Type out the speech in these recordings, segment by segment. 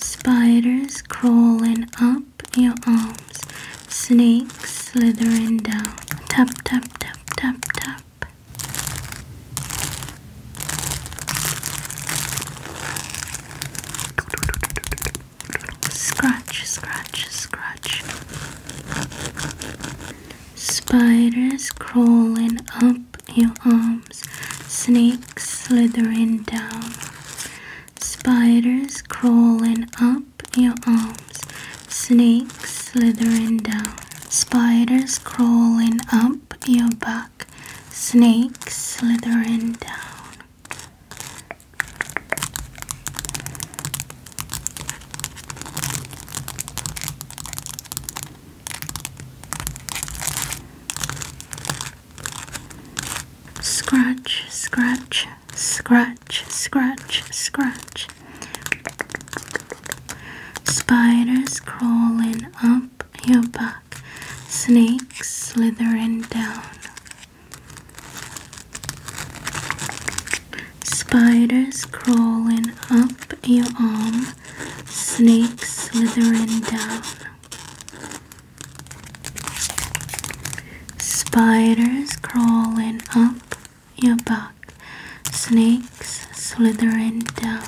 Spiders crawling up your arms. Snakes slithering down. Tap, tap, tap, tap, tap. Scratch, scratch, scratch. Spiders crawling up your arms snakes slithering down, spiders crawling up your arms, snakes slithering down, spiders crawling up your back, snakes slithering down. Scratch, scratch, scratch, scratch, scratch. Spiders crawling up your back, snakes slithering down. Spiders crawling up your arm, snakes slithering down. Spiders crawling up your back, snakes slithering down.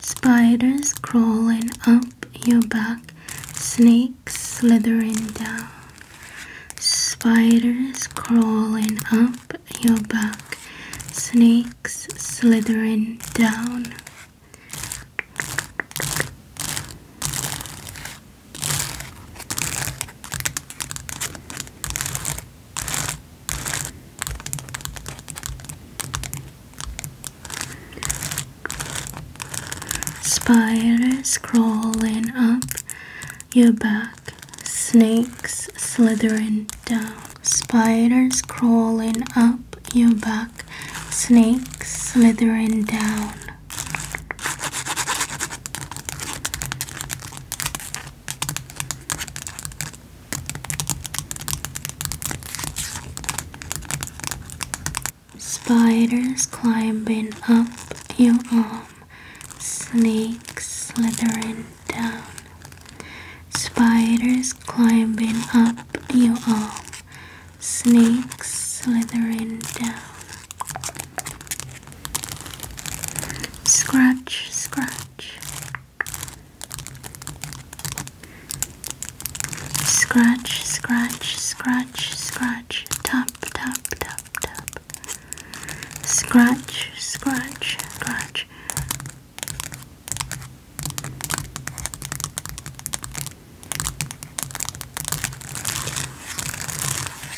Spiders crawling up your back, snakes slithering down. Spiders crawling up your back, snakes slithering down. Spiders crawling up your back, snakes slithering down. Spiders crawling up your back, snakes slithering down. Spiders climbing up your arm, snakes slithering down. Spiders climbing up your arm, snakes slithering down. Scratch, scratch. Scratch, scratch, scratch, scratch. Tap, tap, tap, tap. Scratch, scratch, scratch.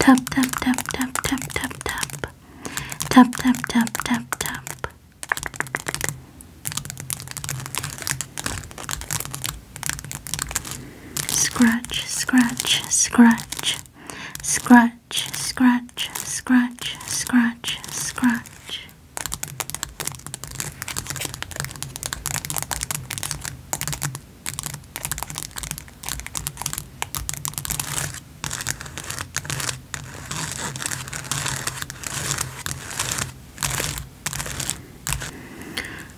Tap tap tap tap tap tap tap tap tap tap tap tap Scratch scratch scratch scratch scratch scratch scratch scratch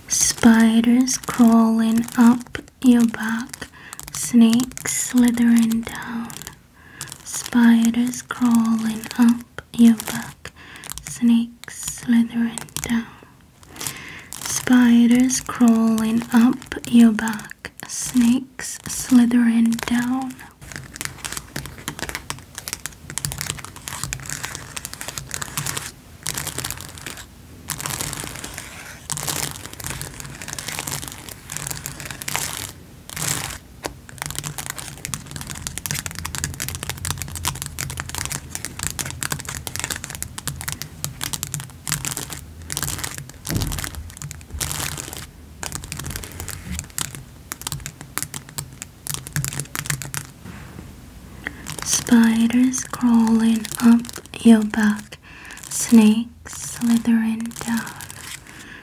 Spiders crawling up your back, snakes slithering down. Spiders crawling up your back, snakes slithering down, spiders crawling up your back, snakes slithering down. Spiders crawling up your back, snakes slithering down,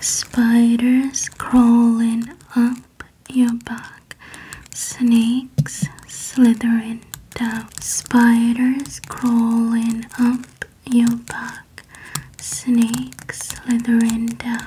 Spiders crawling up your back, snakes slithering down. Spiders crawling up your back, snakes slithering down.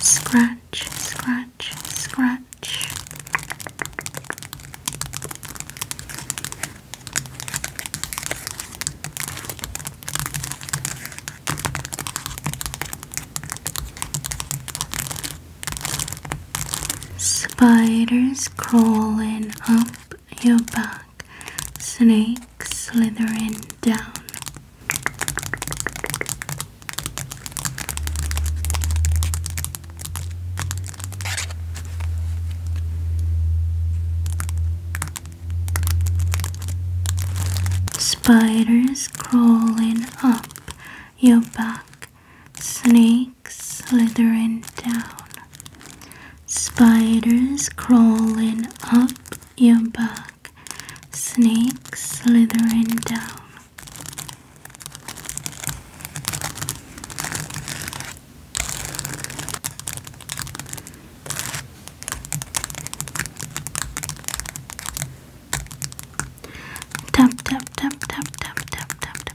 Scratch, scratch, scratch. Spiders crawling up your back, snake slithering down. Spiders crawling up your back, snakes slithering down. Spiders crawling up your back, snakes slithering down. Tap tap tap tap tap tap tap tap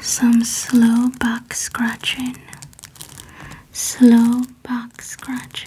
some slow back scratching, slow back scratching.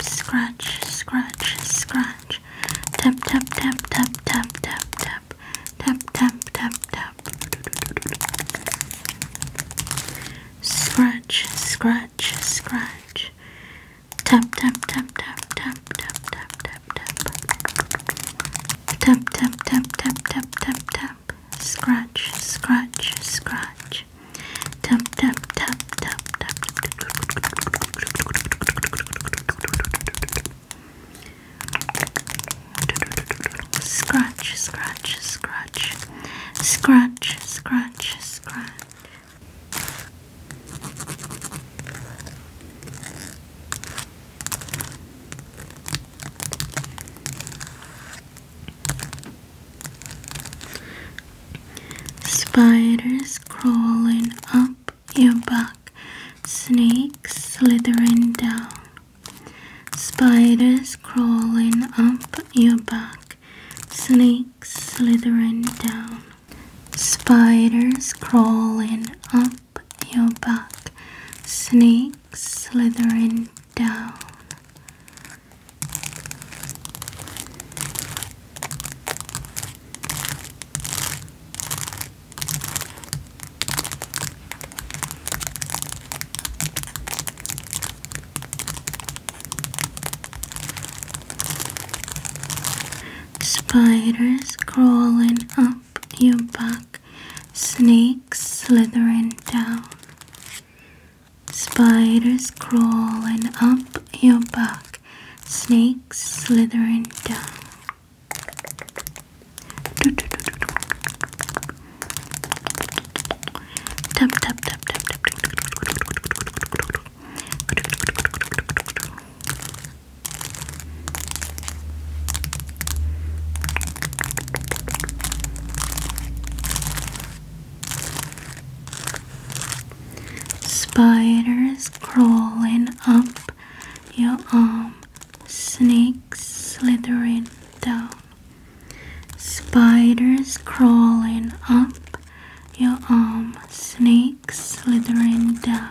Scratch, scratch, scratch. Tap, tap, tap, tap, tap, tap, tap tap, tap, tap, tap. Scratch, scratch, scratch. Tap, tap, tap, tap, tap, tap, tap, tap, tap. Tap, tap, tap, tap, tap, tap, tap. Scratch, scratch, scratch. Tap, tap, tap, tap, tap. Scratch, scratch, scratch, scratch, scratch, scratch. Spiders crawling up your back snakes slithering down, spiders crawling up your back, snakes slithering down, spiders crawling up your back, snakes slithering down. Spiders crawling up your back, snakes slithering down. Spiders crawling up your back, snakes slithering down. Tap tap tap tap Spiders crawling up your arm snakes slithering down, spiders crawling up your arm, snakes slithering down.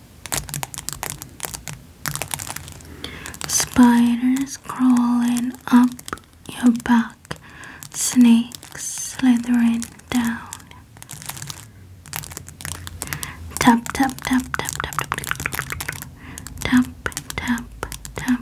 Spiders crawling up your back, snakes slithering down. Tap, tap, tap, tap, tap, tap, tap, tap, tap.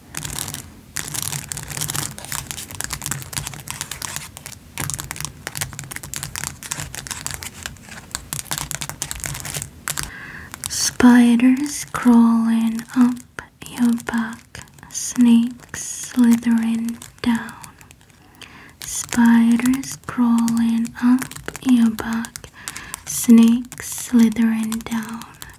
Spiders crawling up your back, snakes slithering down. Spiders crawling up your back, snakes slithering down.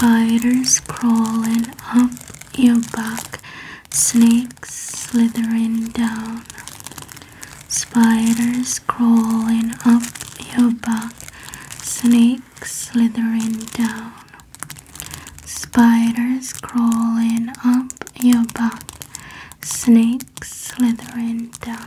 Spiders crawling up your back, snakes slithering down. Spiders crawling up your back, snakes slithering down. Spiders crawling up your back, snakes slithering down.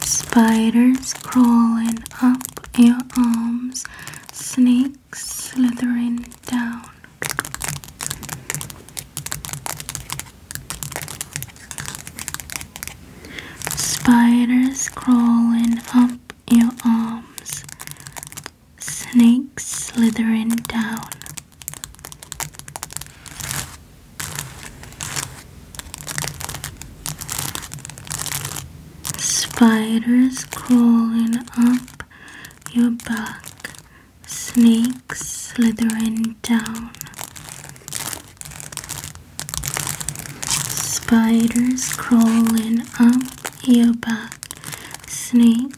Spiders crawling up your arms, snakes slithering down. Spiders crawling up your arms, snakes slithering down. Spiders crawling up your back, snakes slithering down. Spiders crawling up your back, snakes